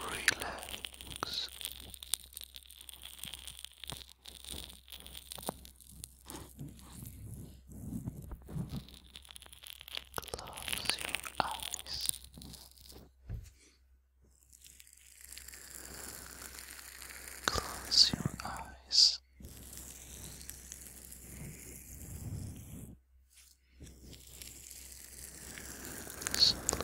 Relax. Close your eyes. Close your eyes this. Sleep.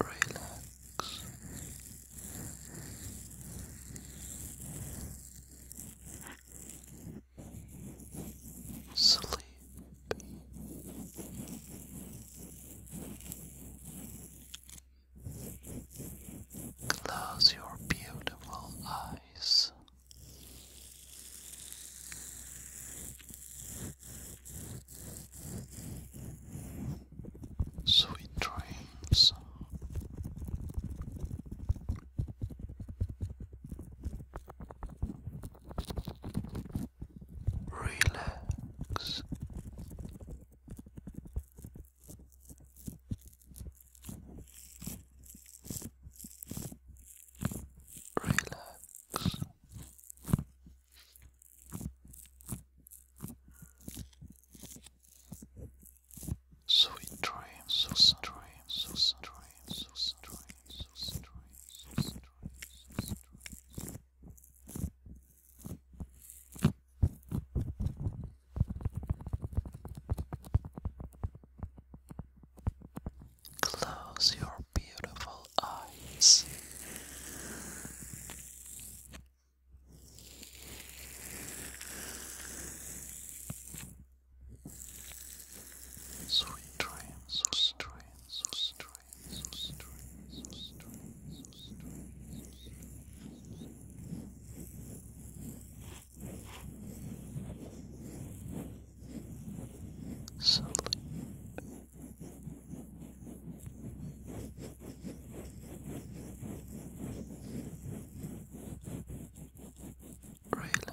Relax. Sleep. Close your beautiful eyes. Sweet dreams relax. Relax. Sweet dreams, sweet dreams, sweet dreams, sweet dreams, sweet dreams, sweet dreams, sweet dreams. Close your beautiful eyes. Sweet dreams, sweet dreams, sweet dreams strength, strength, strength, strength. Sleep. Relax.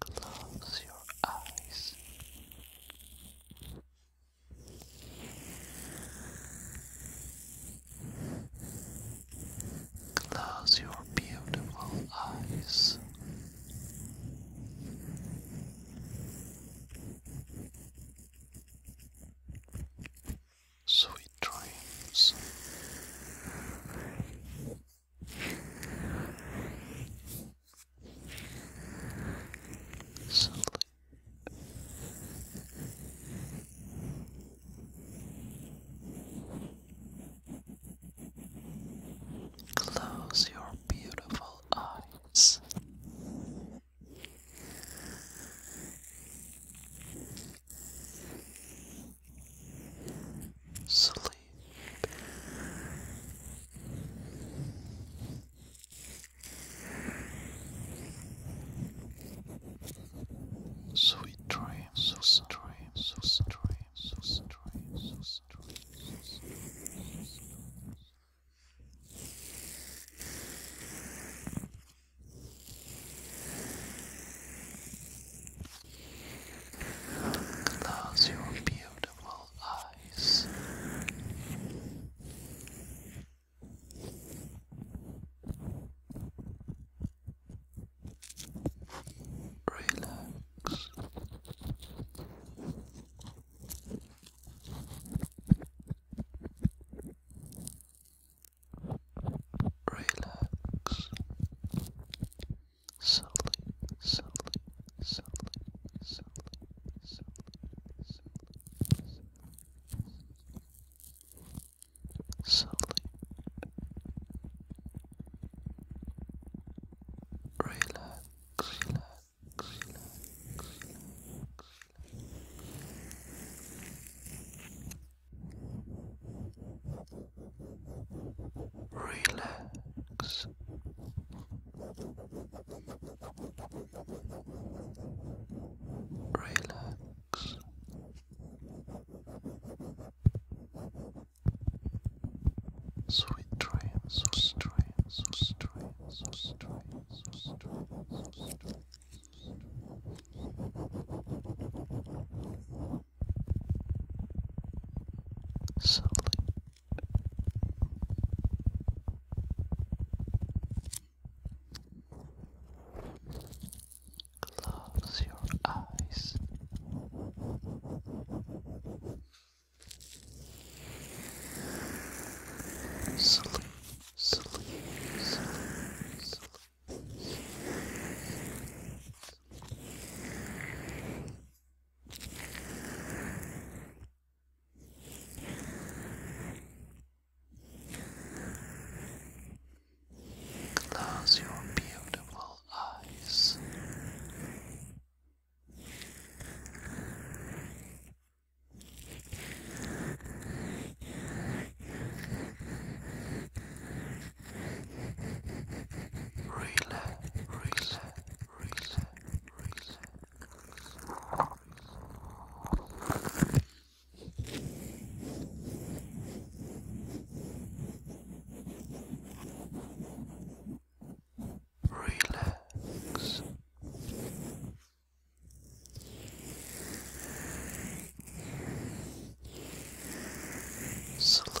Close your eyes. Close your beautiful eyes. Sweet dreams. Close your beautiful eyes. Sleep. Sweet dreams, so sweet dreams, so sweet dreams, so sweet dreams, so sweet dreams. Close your beautiful eyes. Relax. Relax. Sully, Sully, Sully, Sully, Sully, Sully, Sully, Sully. Relax, relax, relax, relax relax. Relax. Sweet dreams, sweet dreams, sweet dreams, sweet dreams, sweet dreams, sweet dreams. Sleep, Close your eyes. Sleep, sleep, sleep, Close your beautiful eyes. Relax, relax. Relax. Sleep.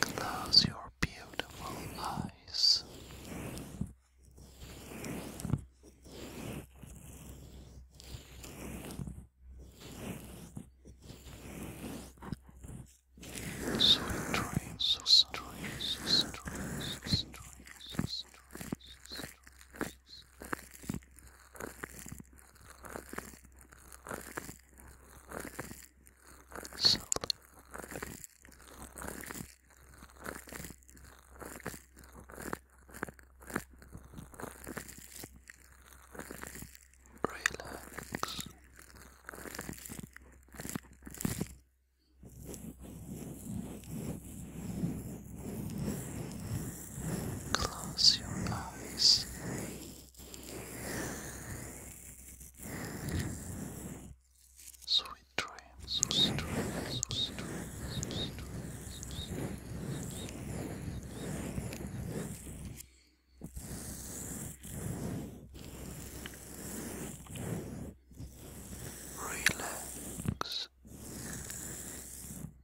Close your beautiful eyes. So dream, so dream, so dream, so dream, so dream, so dream, Salute. Relax. Relax. Close your eyes. Sweet dreams, Relax.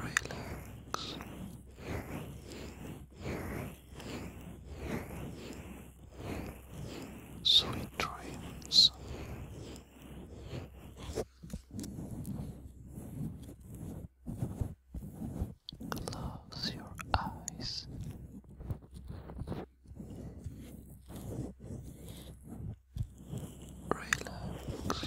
relax. Sweet dreams. Close your eyes. Relax,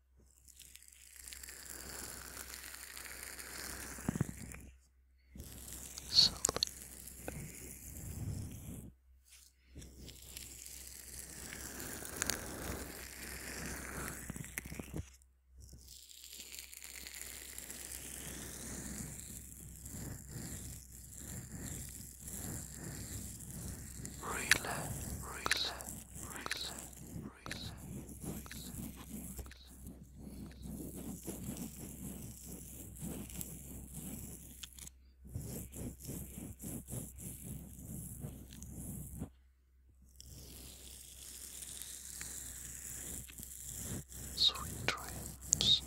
Sleep. Relax, relax, relax, memories. Sweet dreams.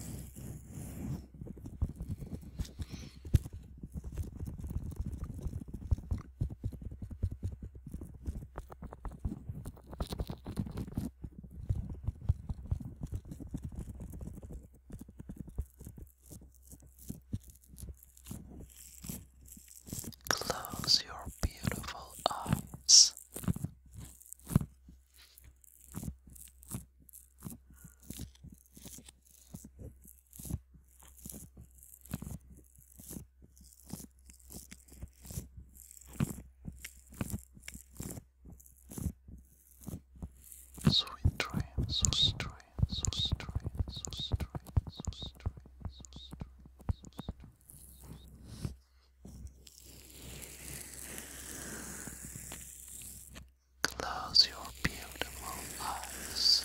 Close your beautiful eyes so strange, so strange, so strange, so strange, so strange, so strange. Close your beautiful eyes.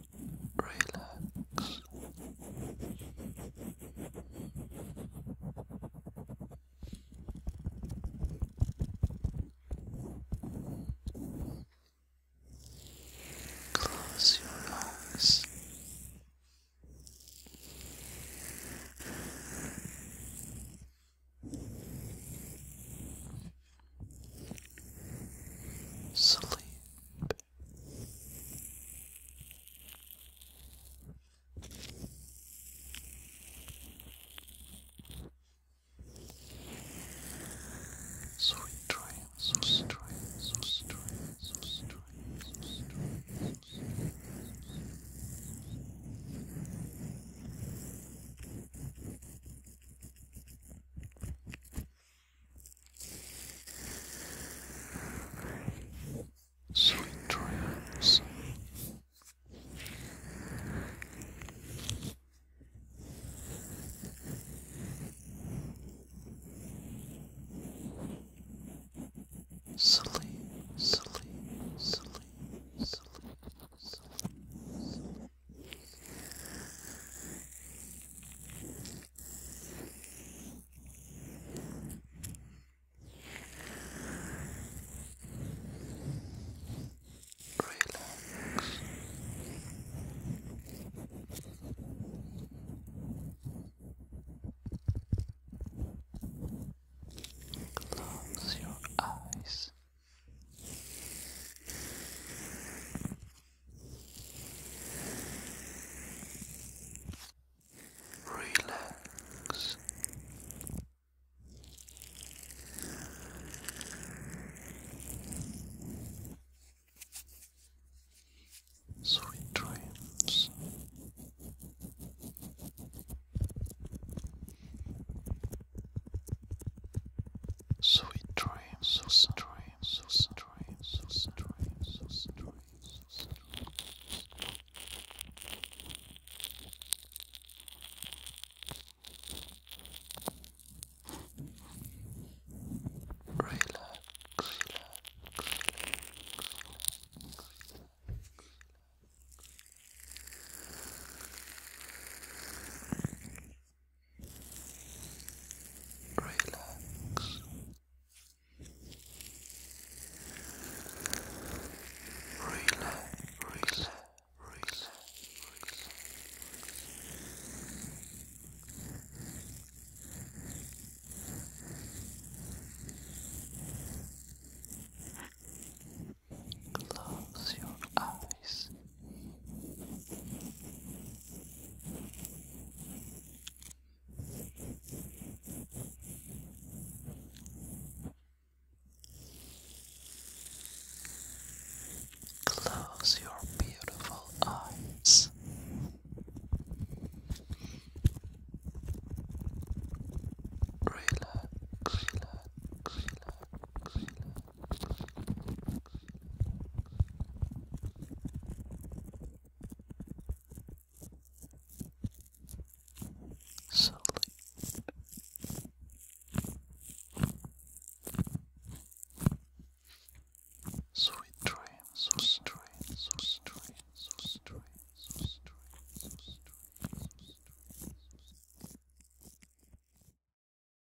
relax. Close your eyes. Sleep. Sweet dreams, sweet dreams, sweet dreams, sweet dreams, sweet dreams. Sweet dreams. Sleep, sleep, sleep, sleep, sleep, Relax. Close your eyes. Relax. Sweet dreams. Sweet dreams, sweet dreams, sweet dreams, sweet dreams, sweet dreams, sweet dreams. Relax, relax, relax, relax relax. Relax, relax, relax, Close your eyes. Close your beautiful eyes. Relax, relax, relax, relax. Sleep. Sweet dreams, sweet dreams, sweet dreams, sweet dreams, sweet dreams, sweet dreams, sweet dreams.